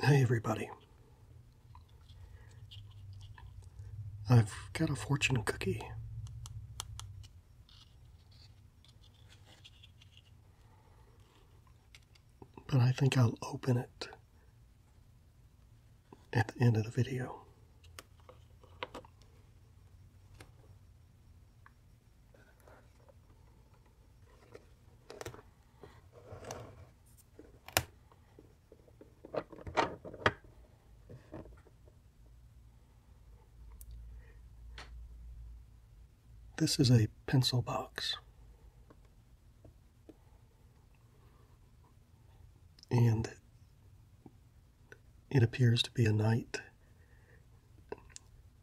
Hey everybody. I've got a fortune cookie. But I think I'll open it at the end of the video. This is a pencil box. And it appears to be a knight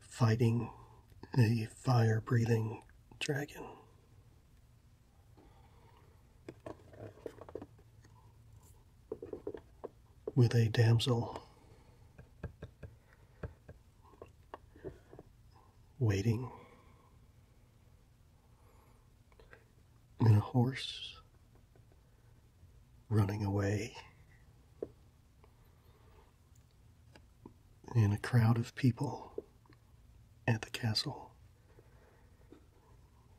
fighting a fire breathing dragon. With a damsel waiting, and a horse running away in a crowd of people at the castle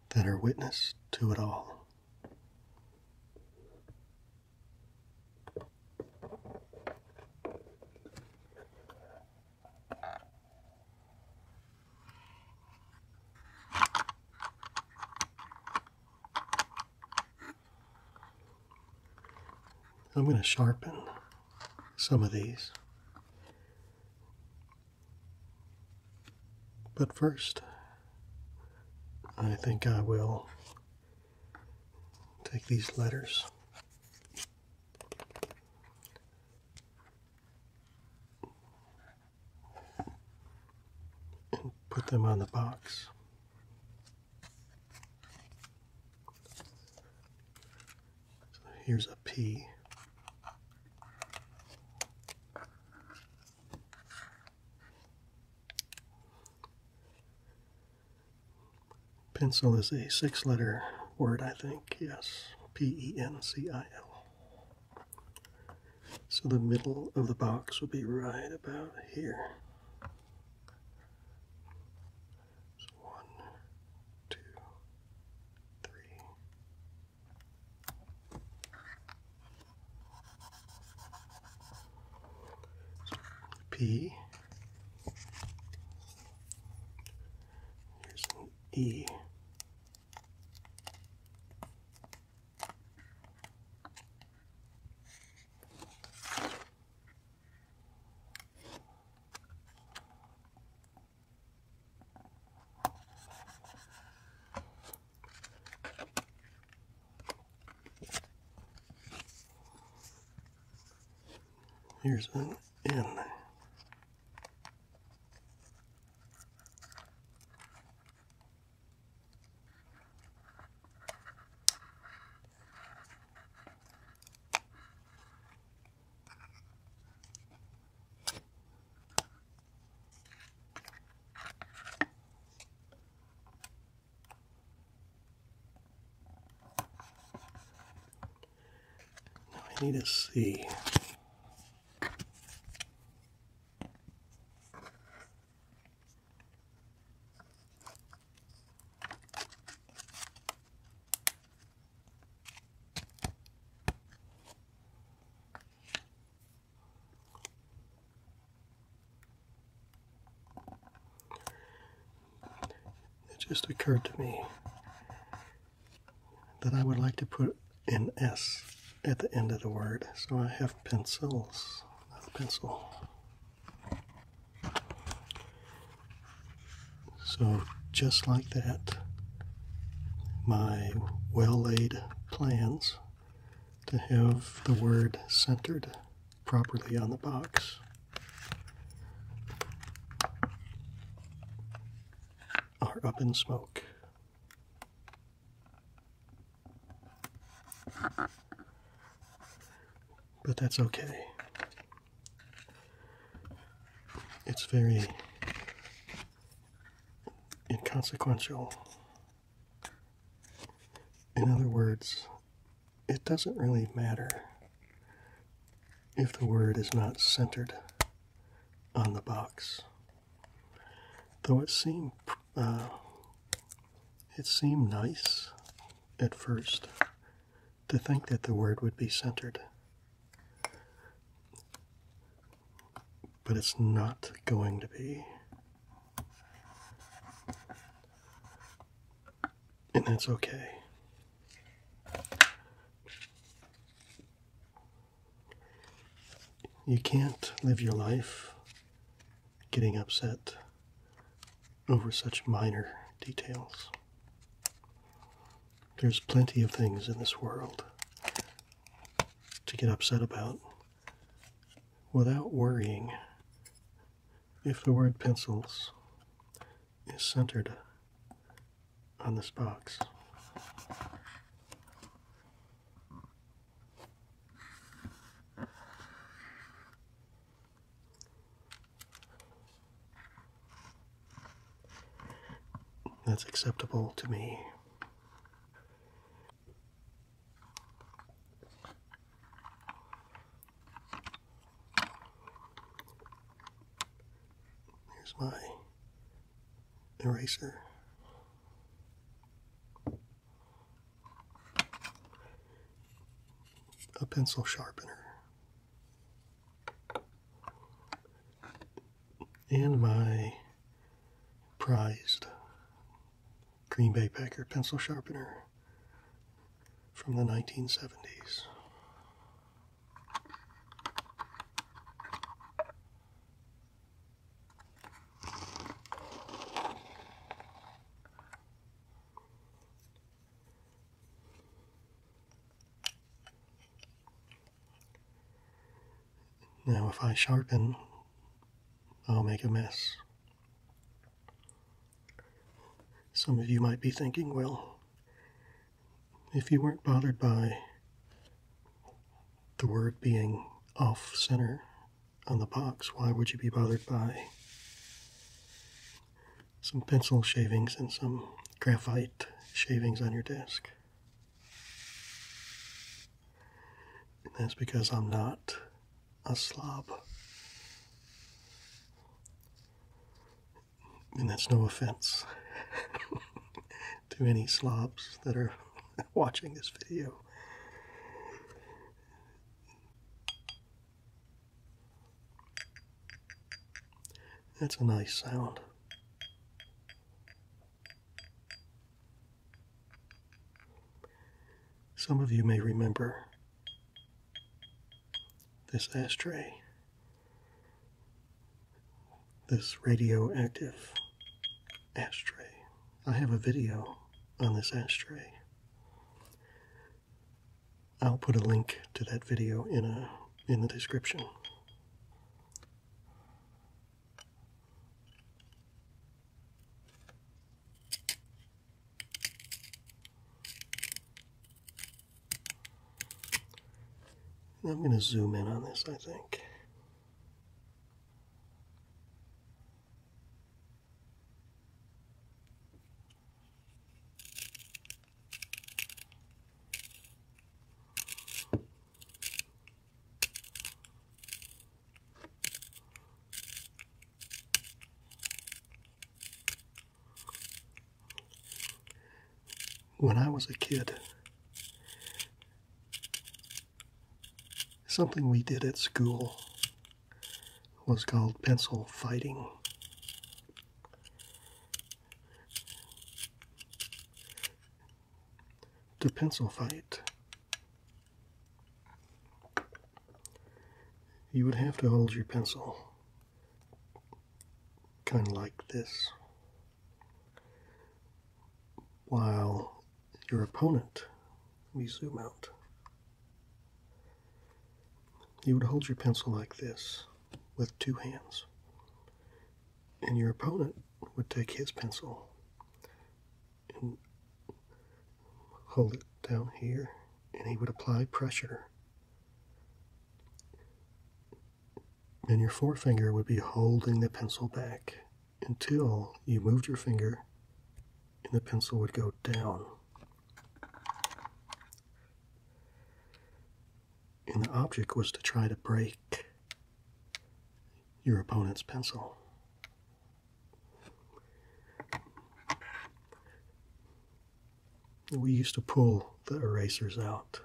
that are witness to it all. I'm going to sharpen some of these. But first, I think I will take these letters and put them on the box. So here's a P. Pencil is a six letter word, I think. Yes. P E N C I L. So the middle of the box will be right about here. So one, two, three. So P. Here's an E. Here's an N. Now I need to see. It just occurred to me that I would like to put an S at the end of the word. So I have pencils, not pencil. So just like that, my well laid plans to have the word centered properly on the box. Are up in smoke. But that's okay. It's very inconsequential. In other words, it doesn't really matter if the word is not centered on the box. Though it seemed uh, it seemed nice at first to think that the word would be centered. But it's not going to be. And that's okay. You can't live your life getting upset over such minor details. There's plenty of things in this world to get upset about without worrying if the word pencils is centered on this box. That's acceptable to me. Here's my eraser. A pencil sharpener. And my prized Green Bay Packer pencil sharpener from the 1970s. Now if I sharpen, I'll make a mess. Some of you might be thinking, well, if you weren't bothered by the word being off center on the box. Why would you be bothered by some pencil shavings and some graphite shavings on your desk? that's because I'm not a slob. And that's no offense to any slobs that are watching this video. That's a nice sound. Some of you may remember this ashtray this radioactive ashtray. I have a video on this ashtray. I'll put a link to that video in a in the description. I'm going to zoom in on this, I think. When I was a kid, Something we did at school was called pencil fighting. To pencil fight, you would have to hold your pencil kind of like this while your opponent, let me zoom out, you would hold your pencil like this with two hands, and your opponent would take his pencil and hold it down here, and he would apply pressure and your forefinger would be holding the pencil back until you moved your finger and the pencil would go down. And the object was to try to break your opponent's pencil. We used to pull the erasers out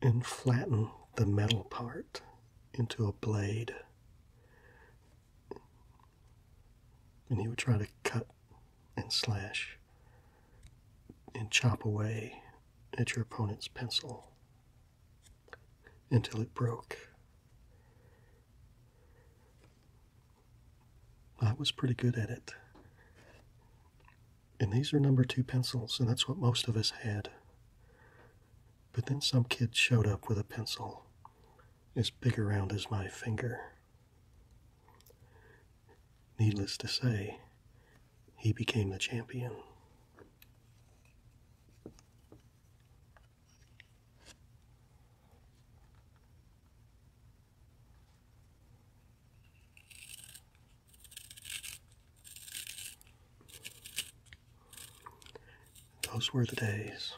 and flatten the metal part into a blade. And he would try to cut and slash and chop away at your opponent's pencil until it broke. I was pretty good at it. And these are number two pencils, and that's what most of us had. But then some kid showed up with a pencil as big around as my finger. Needless to say, he became the champion. Those were the days.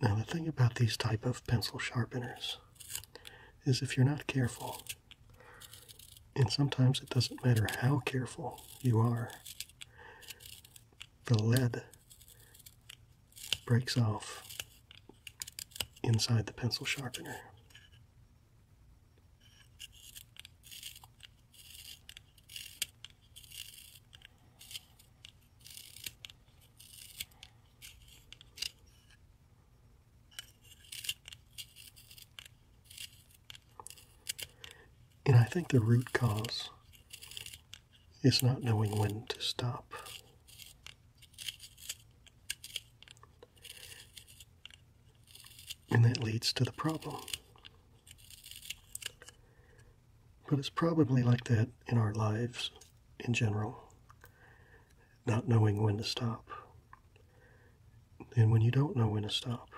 Now the thing about these type of pencil sharpeners is if you're not careful, and sometimes it doesn't matter how careful you are, the lead breaks off inside the pencil sharpener. And I think the root cause is not knowing when to stop. And that leads to the problem. But it's probably like that in our lives in general, not knowing when to stop. And when you don't know when to stop,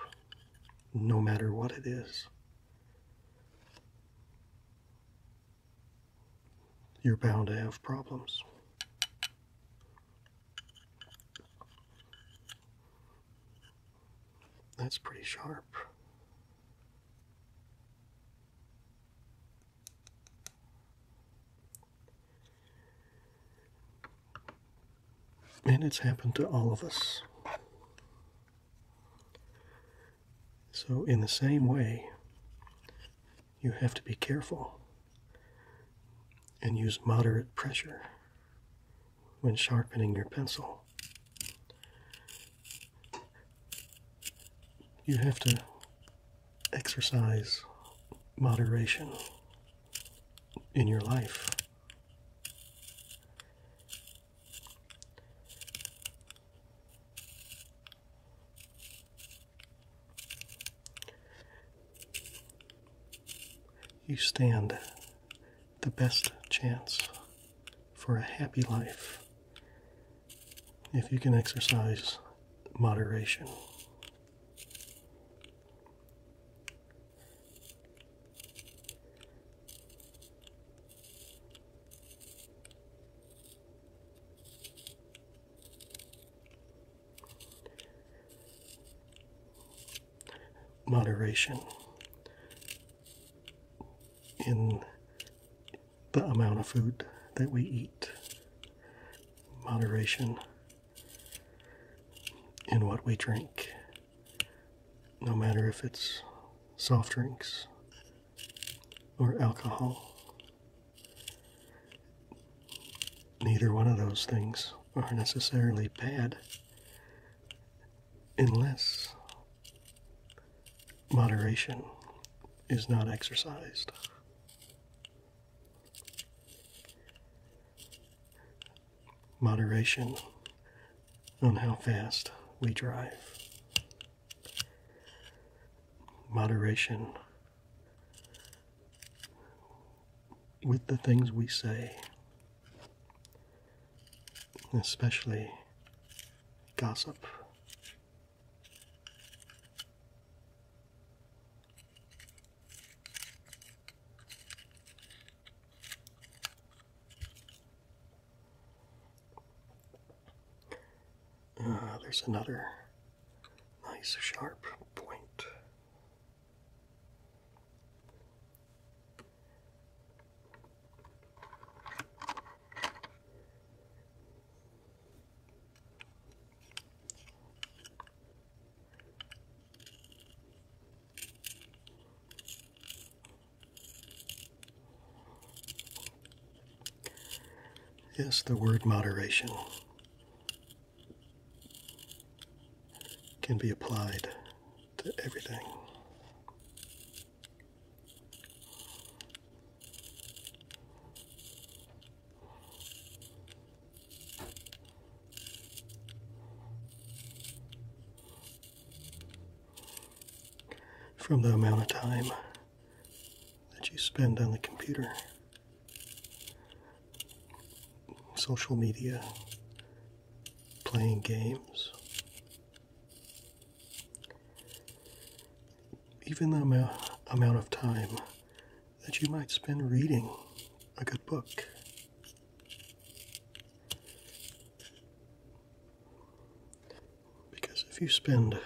no matter what it is, you're bound to have problems. That's pretty sharp. And it's happened to all of us. So, in the same way, you have to be careful and use moderate pressure when sharpening your pencil. You have to exercise moderation in your life. You stand the best chance for a happy life if you can exercise moderation moderation in the amount of food that we eat, moderation in what we drink, no matter if it's soft drinks or alcohol. Neither one of those things are necessarily bad unless moderation is not exercised. Moderation on how fast we drive. Moderation with the things we say especially gossip. Uh, there's another nice sharp point. Yes, the word moderation can be applied to everything. From the amount of time that you spend on the computer, social media, playing games. Even the amount, amount of time that you might spend reading a good book. Because if you spend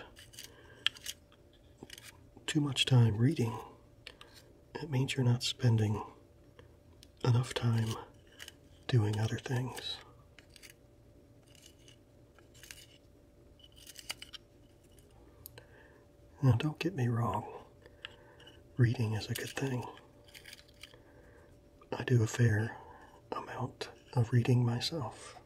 too much time reading, it means you're not spending enough time doing other things. Now, don't get me wrong, reading is a good thing. I do a fair amount of reading myself.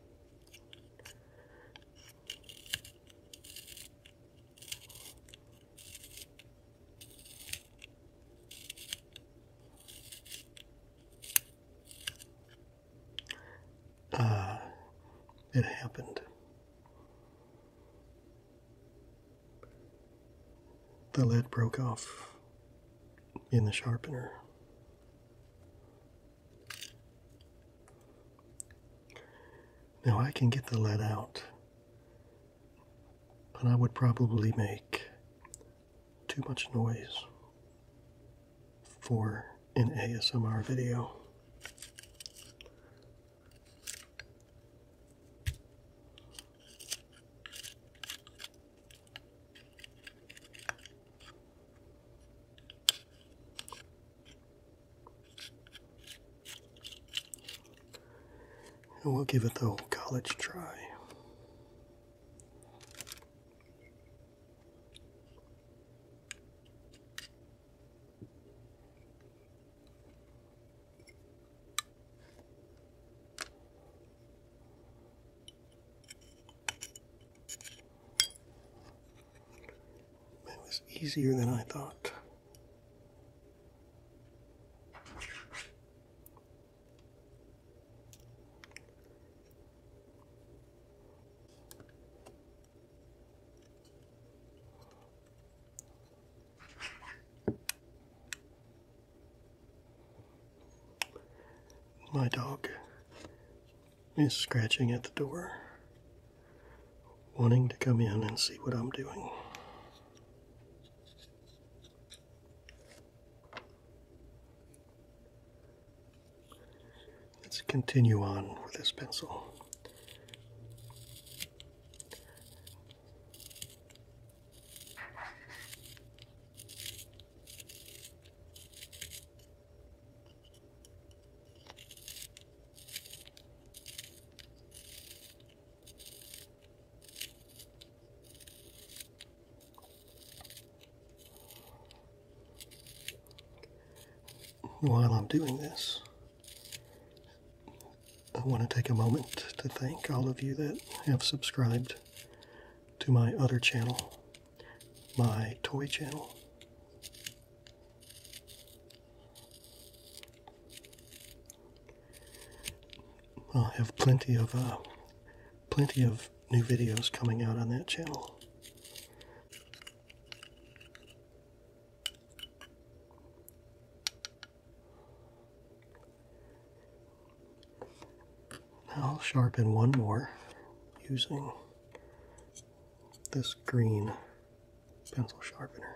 Ah, it happened. The lead broke off in the sharpener. Now I can get the lead out and I would probably make too much noise for an ASMR video. And we'll give it the whole college try. It was easier than I thought. My dog is scratching at the door, wanting to come in and see what I'm doing. Let's continue on with this pencil. While I'm doing this, I want to take a moment to thank all of you that have subscribed to my other channel, my toy channel. I'll have plenty of uh, plenty of new videos coming out on that channel. I'll sharpen one more using this green pencil sharpener.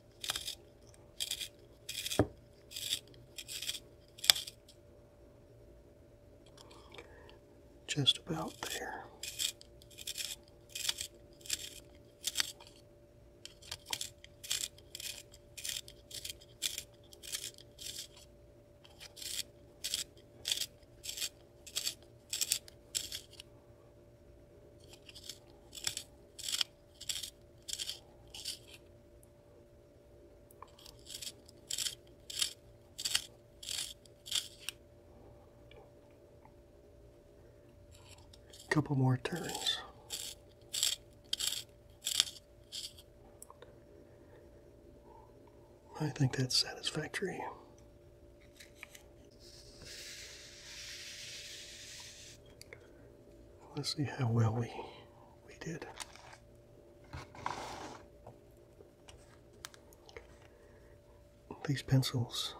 Just about there couple more turns. I think that's satisfactory. Let's see how well we we did. These pencils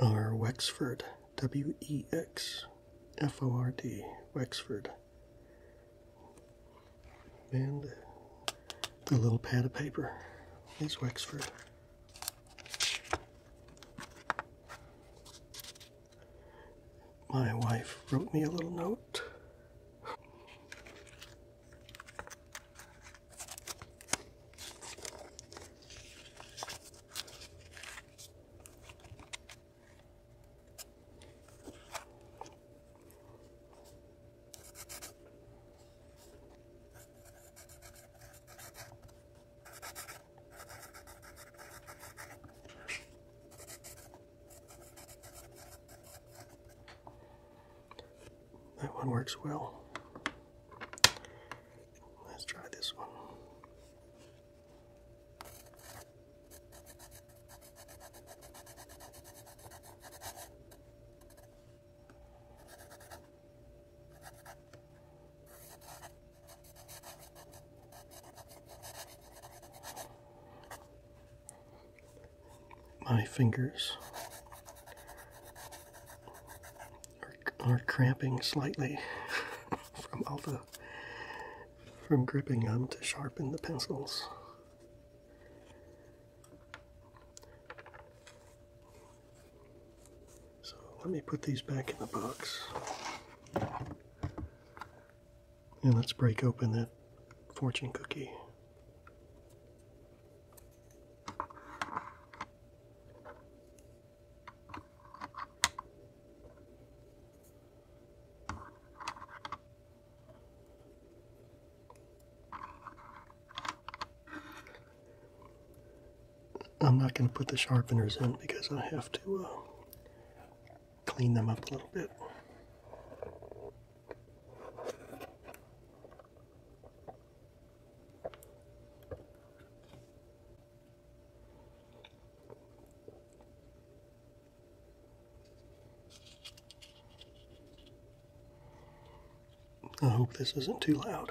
are Wexford, W E X F O R D, Wexford. And the little pad of paper is Wexford. My wife wrote me a little note. That one works well. Let's try this one. My fingers are, are cramping slightly from all from gripping them to sharpen the pencils. So let me put these back in the box. And let's break open that fortune cookie. I'm not going to put the sharpeners in because I have to uh, clean them up a little bit. I hope this isn't too loud.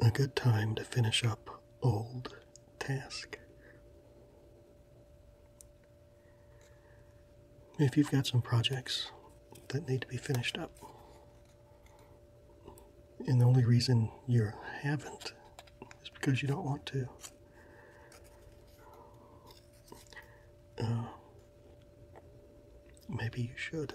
a good time to finish up old task. If you've got some projects that need to be finished up, and the only reason you haven't is because you don't want to. Uh, maybe you should.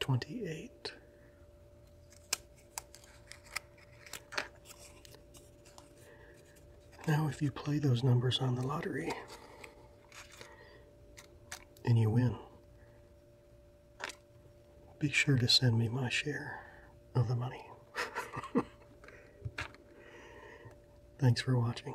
28. Now, if you play those numbers on the lottery and you win, be sure to send me my share of the money. Thanks for watching.